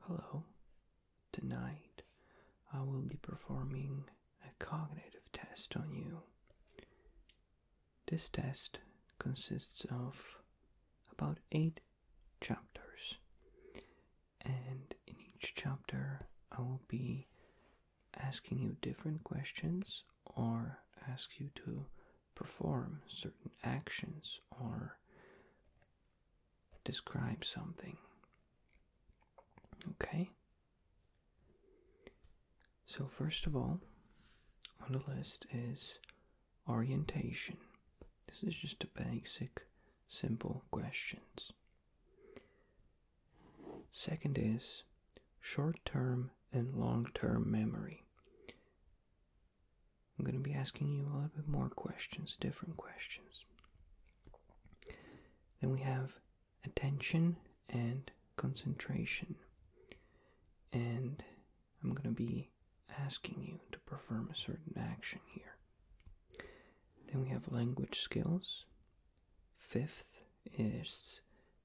Hello. Tonight I will be performing a cognitive test on you. This test consists of about eight chapters, and in each chapter I will be asking you different questions or ask you to perform certain actions or describe something. Okay? So, first of all, on the list is orientation. This is just a basic, simple questions. Second is short term and long term memory. I'm going to be asking you a little bit more questions, different questions. Then we have attention and concentration. And I'm going to be asking you to perform a certain action here. Then we have language skills. Fifth is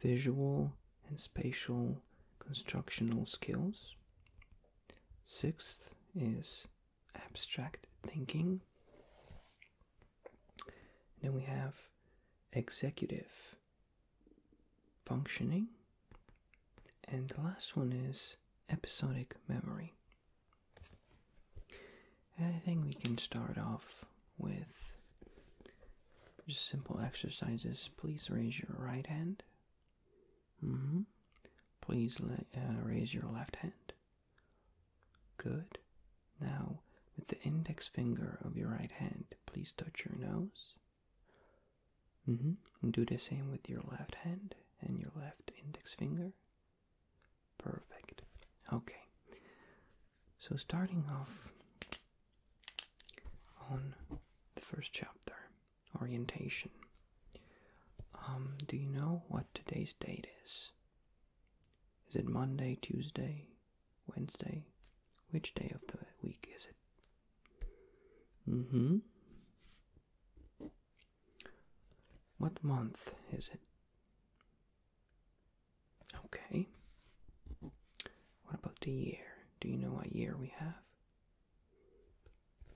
visual and spatial constructional skills. Sixth is abstract thinking. then we have executive functioning. And the last one is episodic memory. And I think we can start off with just simple exercises. Please raise your right hand Mm-hmm. Please uh, raise your left hand. Good. Now, with the index finger of your right hand, please touch your nose. Mm-hmm. do the same with your left hand and your left index finger. Perfect. Okay. So, starting off on the first chapter, orientation. Um, do you know what today's date is? Is it Monday, Tuesday, Wednesday? Which day of the week is it? Mm hmm. What month is it? Okay. What about the year? Do you know what year we have?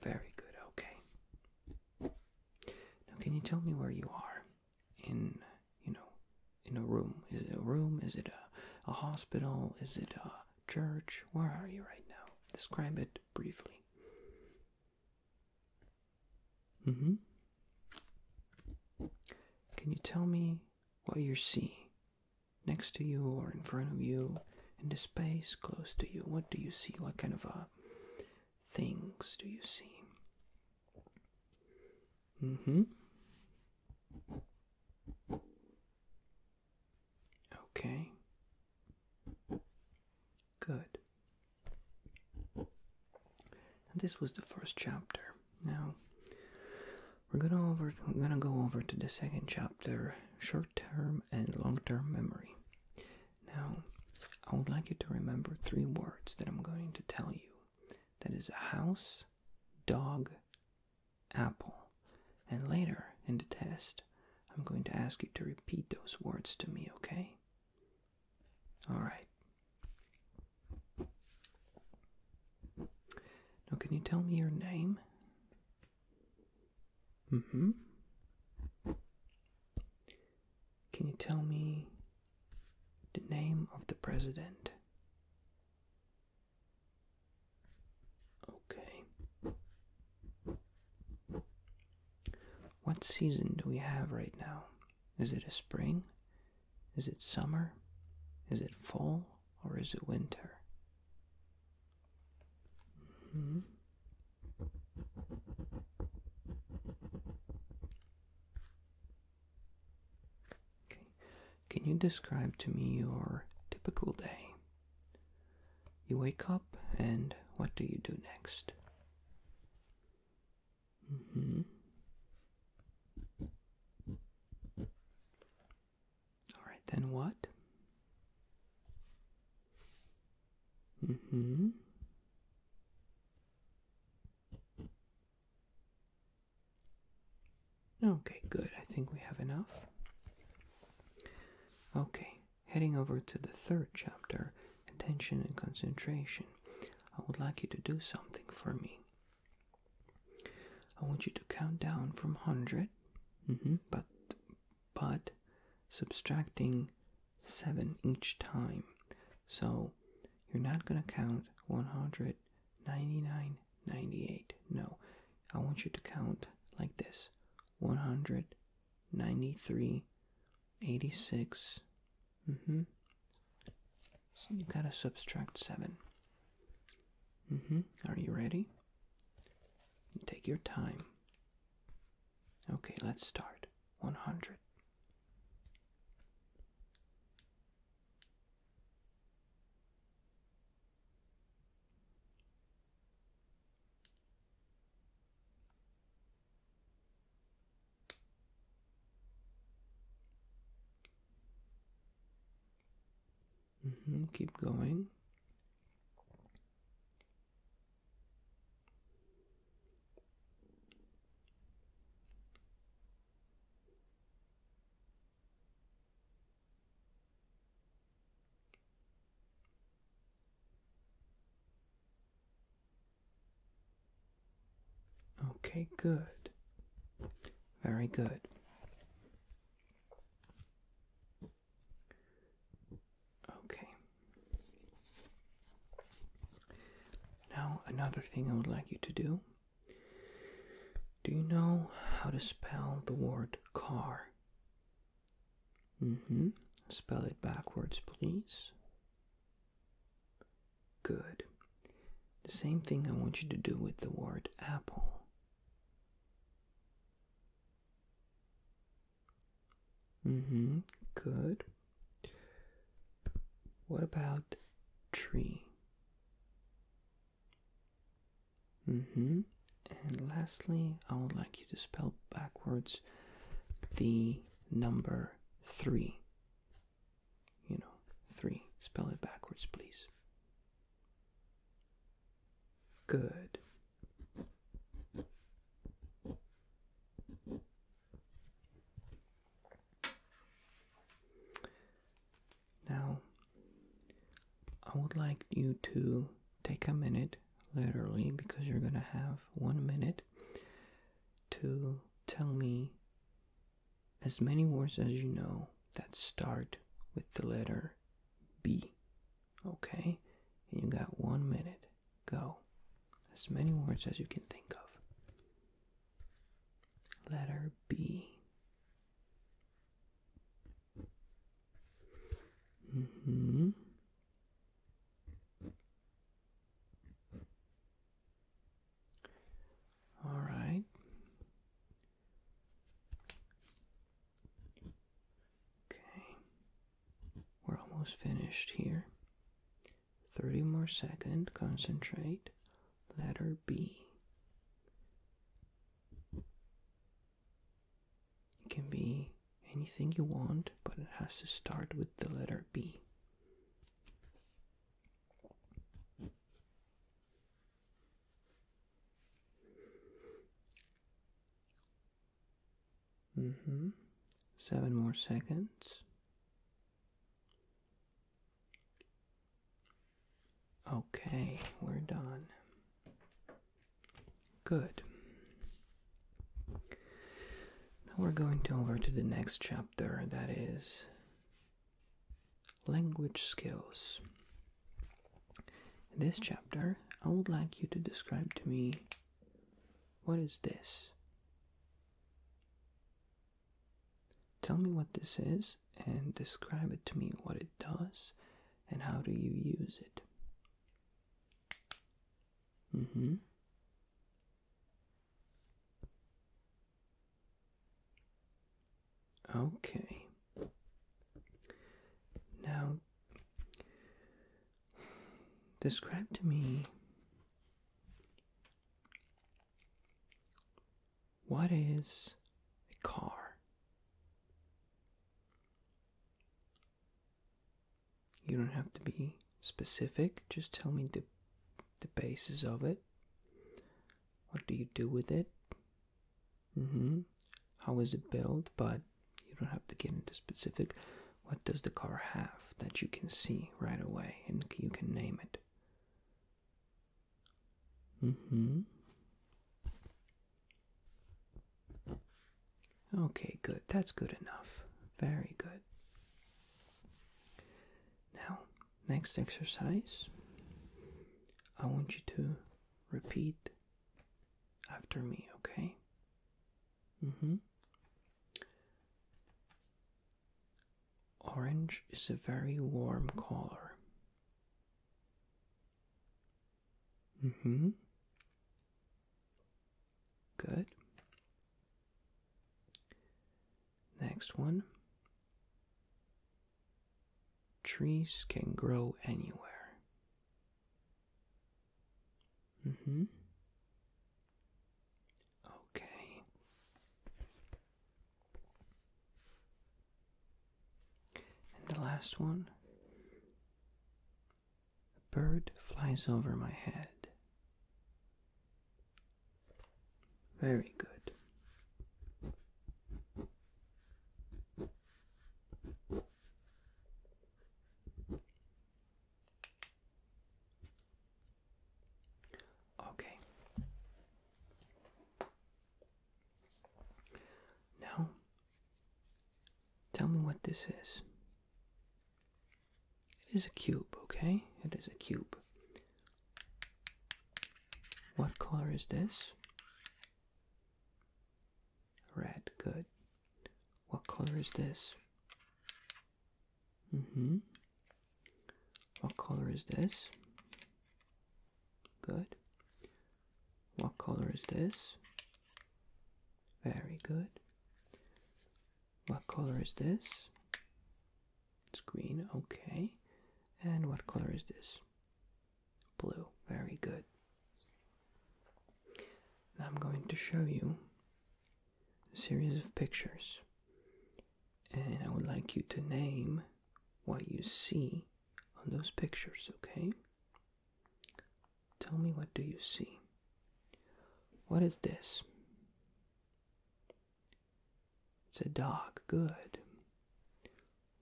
Very good, okay. Now, can you tell me where you are? In, you know, in a room. Is it a room? Is it a, a hospital? Is it a church? Where are you right now? Describe it briefly. Mm hmm. Can you tell me what you're seeing? next to you or in front of you, in the space close to you? What do you see? What kind of uh, things do you see? Mm hmm. Okay. Good. this was the first chapter. Now we're gonna over we're gonna go over to the second chapter, short term and long term memory. Now, I would like you to remember three words that I'm going to tell you that is a house, dog, apple. And later in the test, I'm going to ask you to repeat those words to me, okay? Alright. Now, can you tell me your name Mm hmm. Can you tell me the name of the president? Okay. What season do we have right now? Is it a spring? Is it summer? Is it fall or is it winter? Mm-hmm. Can you describe to me your typical day? You wake up and what do you do next? Mm-hmm. All right, then what? Mm hmm. Okay, good. I think we have enough. Okay, heading over to the third chapter, attention and concentration. I would like you to do something for me. I want you to count down from 100 Mm-hmm. But but subtracting seven each time, so you're not gonna count 199, 98. No, I want you to count like this: 86. Mm -hmm. So you gotta subtract seven. Mm -hmm. Are you ready? Take your time. Okay, let's start. 100. Mm -hmm, keep going. Okay, good. Very good. Okay. Now, another thing I would like you to do. Do you know how to spell the word car? Mm hmm. Spell it backwards, please. Good. The same thing I want you to do with the word apple. Mm-hmm. Good. What about tree? Mm-hmm. And lastly, I would like you to spell backwards the number three. You know, three. Spell it backwards, please. Good. Now, I would like you to take a minute, literally, because you're going to have one minute to tell me as many words as you know that start with the letter B. Okay? And you got one minute. Go. As many words as you can think of. Letter B. hmm. All right. Okay, we're almost finished here. 30 more second, concentrate. Letter B. It can be anything you want, but it has to start with the letter B. Mm-hmm. Seven more seconds. Okay, we're done. Good. Now we're going to over to the next chapter that is Language skills. In this chapter, I would like you to describe to me what is this? Tell me what this is and describe it to me what it does and how do you use it. Mm-hmm. Okay. Now, describe to me what is a car? You don't have to be specific, just tell me the, the basis of it. What do you do with it? Mm-hmm. is it built? But you don't have to get into specific. What does the car have that you can see right away and you can name it? Mm-hmm. Okay, good. That's good enough. Very good. Now, Next exercise, I want you to repeat after me, okay? Mm-hmm. Orange is a very warm color. hmm. Good. Next one. Trees can grow anywhere. hmm. Okay. And the last one. A bird flies over my head. Very good. Okay. Now, tell me what this is. It is a cube, okay? It is a cube. What color is this? Red, good. What color is this? Mm-hmm. What color is this? Good. What color is this? Very good. What color is this? It's green, okay. And what color is this? Blue, very good. I'm going to show you a series of pictures. And I would like you to name what you see on those pictures, okay? Tell me what do you see? What is this? It's a dog. Good.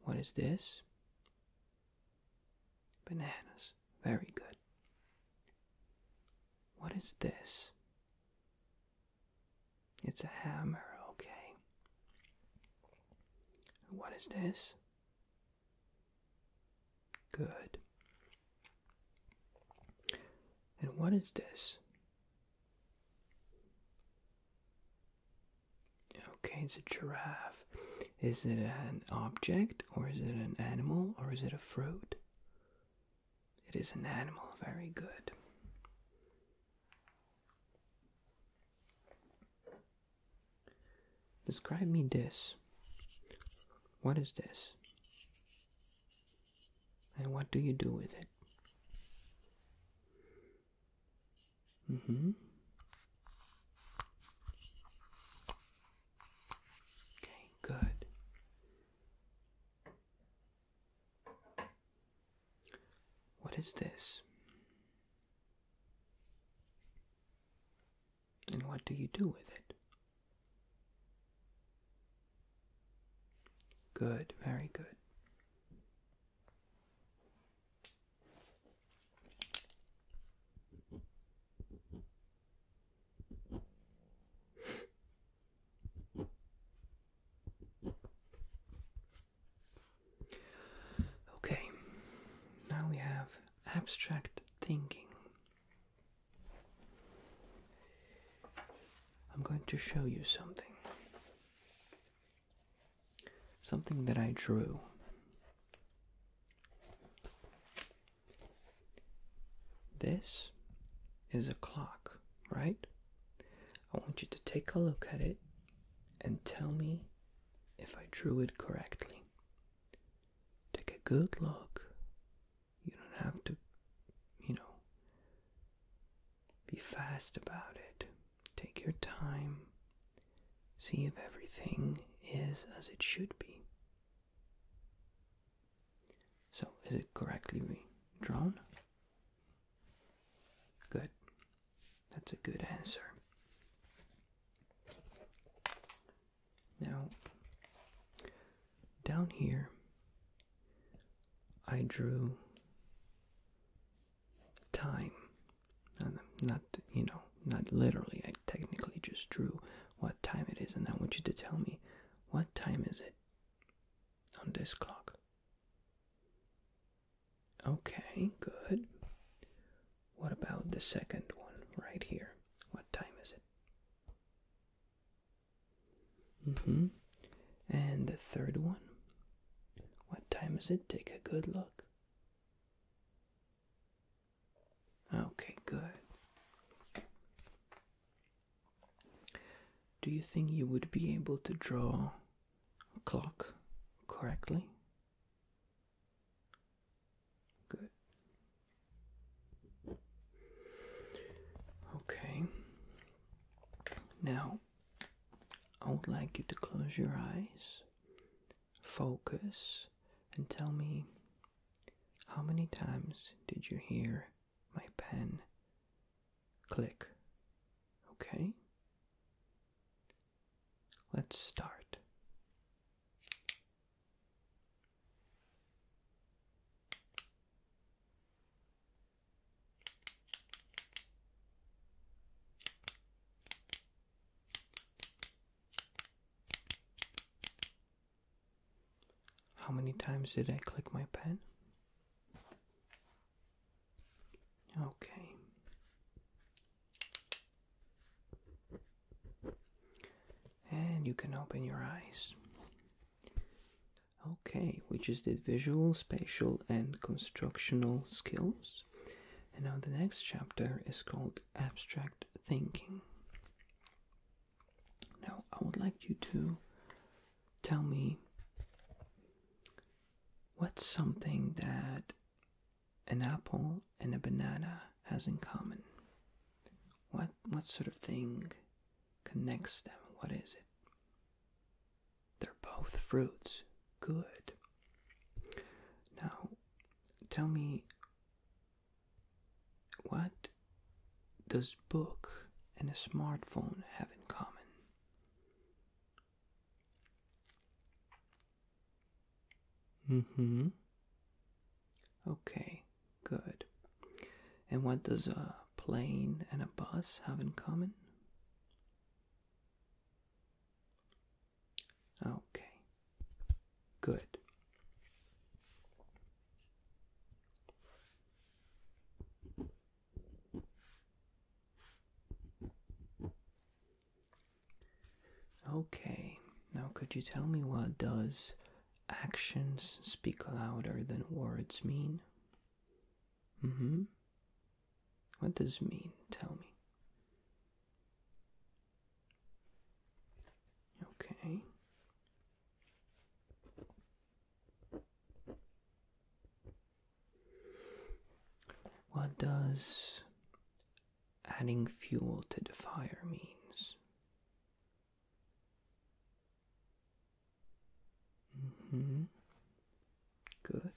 What is this? Bananas. Very good. What is this? It's a hammer. Okay. What is this? Good. And what is this? Okay, it's a giraffe. Is it an object, or is it an animal, or is it a fruit? It is an animal, very good. Describe me this. What is this? And what do you do with it? Mm-hmm. Okay, good. What is this? And what do you do with it? Good, very good. Okay, now we have abstract thinking. I'm going to show you something. Something that I drew. This is a clock, right? I want you to take a look at it and tell me if I drew it correctly. Take a good look you don't have to, you know, be fast about it. Take your time. See if everything is as it should be. So, is it correctly drawn? Good. That's a good answer. Now, down here I drew time. And not, you know, not literally. I technically just drew what time it is, and I want you to tell me what time is it on this clock. Okay, good. What about the second one right here? What time is it? Mm-hmm. And the third one. What time is it? Take a good look. Okay, good. Do you think you would be able to draw a clock correctly? Good. Okay. Now, I would like you to close your eyes, focus, and tell me how many times did you hear my pen click? Okay? Let's start. How many times did I click my pen? Okay. And you can open your eyes. Okay, which is the visual, spatial, and constructional skills. And now the next chapter is called abstract thinking. Now, I would like you to tell me what's something that an apple and a banana has in common. What what sort of thing connects them. What is it? They're both fruits. Good. Now, tell me what does book and a smartphone have in common? Mm hmm. Okay. Good. And what does a plane and a bus have in common? Okay. Good. Okay. Now could you tell me what does actions speak louder than words mean? Mm-hmm. What does mean? Tell me. Okay. What does adding fuel to the fire means? Mm-hmm. Good.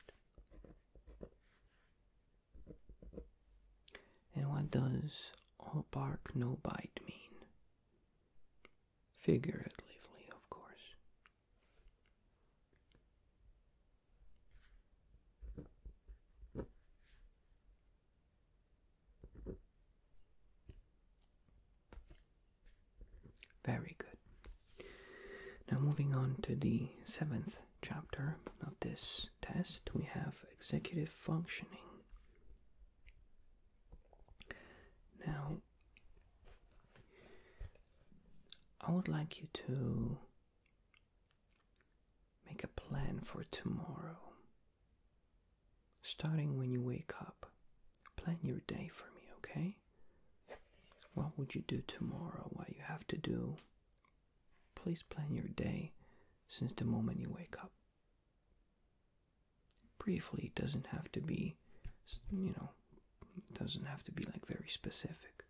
And what does all bark no bite mean? Figuratively, of course. Very good. Now, moving on to the seventh chapter of this test, we have executive functioning. Now, I would like you to make a plan for tomorrow. Starting when you wake up, plan your day for me, okay? What would you do tomorrow? What you have to do? Please plan your day since the moment you wake up. Briefly, doesn't have to be, you know, doesn't have to be like very specific.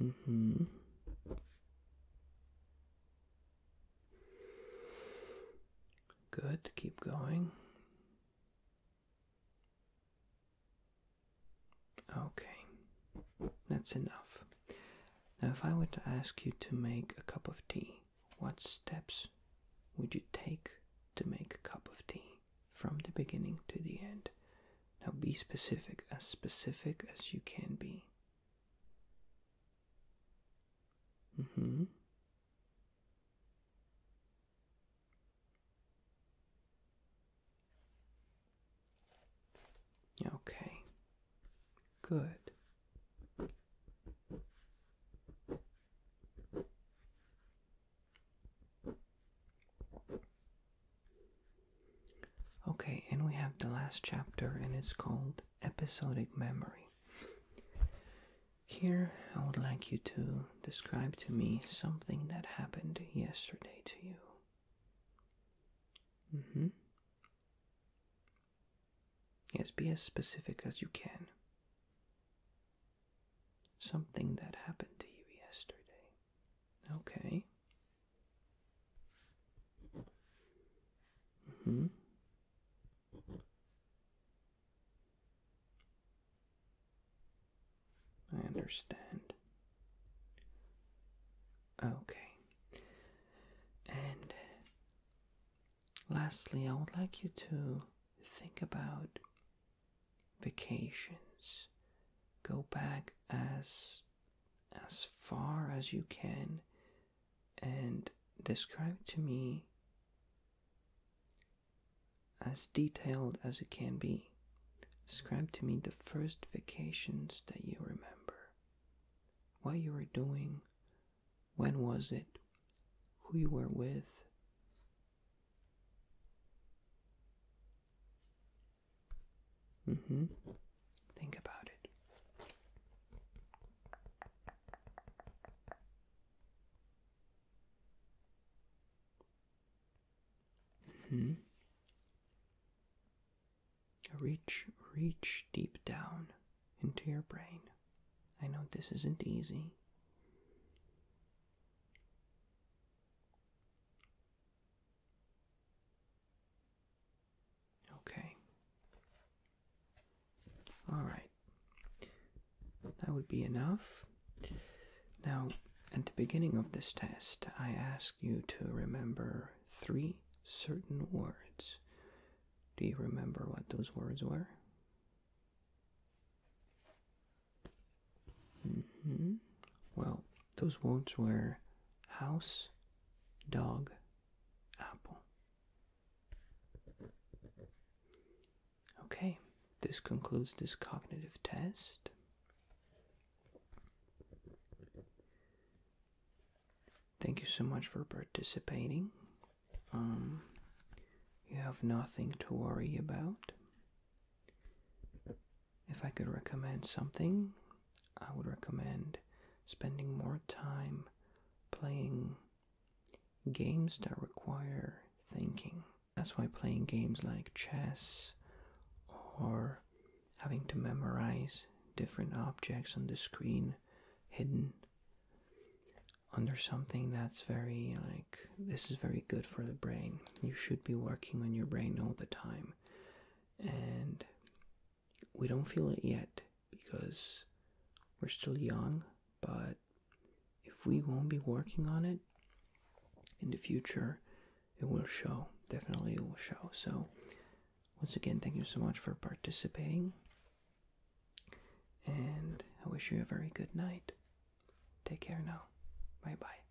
Mm-hmm. Good, keep going. Okay, that's enough. Now, if I were to ask you to make a cup of tea, what steps would you take to make a cup of tea from the beginning to the end? Now, be specific, as specific as you can be. Mm-hmm. Okay. Good. Okay, and we have the last chapter, and it's called Episodic Memory. Here, I would like you to describe to me something that happened yesterday to you. Mm hmm. Yes, be as specific as you can. Something that happened to you yesterday. Okay. Mm-hmm. I understand. Okay. And lastly, I would like you to think about vacations. Go back as as far as you can and describe to me as detailed as it can be. Describe to me the first vacations that you remember. What you were doing, when was it, who you were with. Mm-hmm. Think about it. hmm Reach, reach deep down into your brain. I know this isn't easy. Okay. Alright. That would be enough. Now, at the beginning of this test, I ask you to remember three certain words. Do you remember what those words were? -hmm. Well, those words were house, dog, apple. Okay, this concludes this cognitive test. Thank you so much for participating. Um, you have nothing to worry about. If I could recommend something, I would recommend spending more time playing games that require thinking. That's why playing games like chess or having to memorize different objects on the screen hidden under something that's very like this is very good for the brain. You should be working on your brain all the time and we don't feel it yet because we're still young, but if we won't be working on it in the future, it will show. Definitely, it will show. So, once again, thank you so much for participating, and I wish you a very good night. Take care now. Bye bye.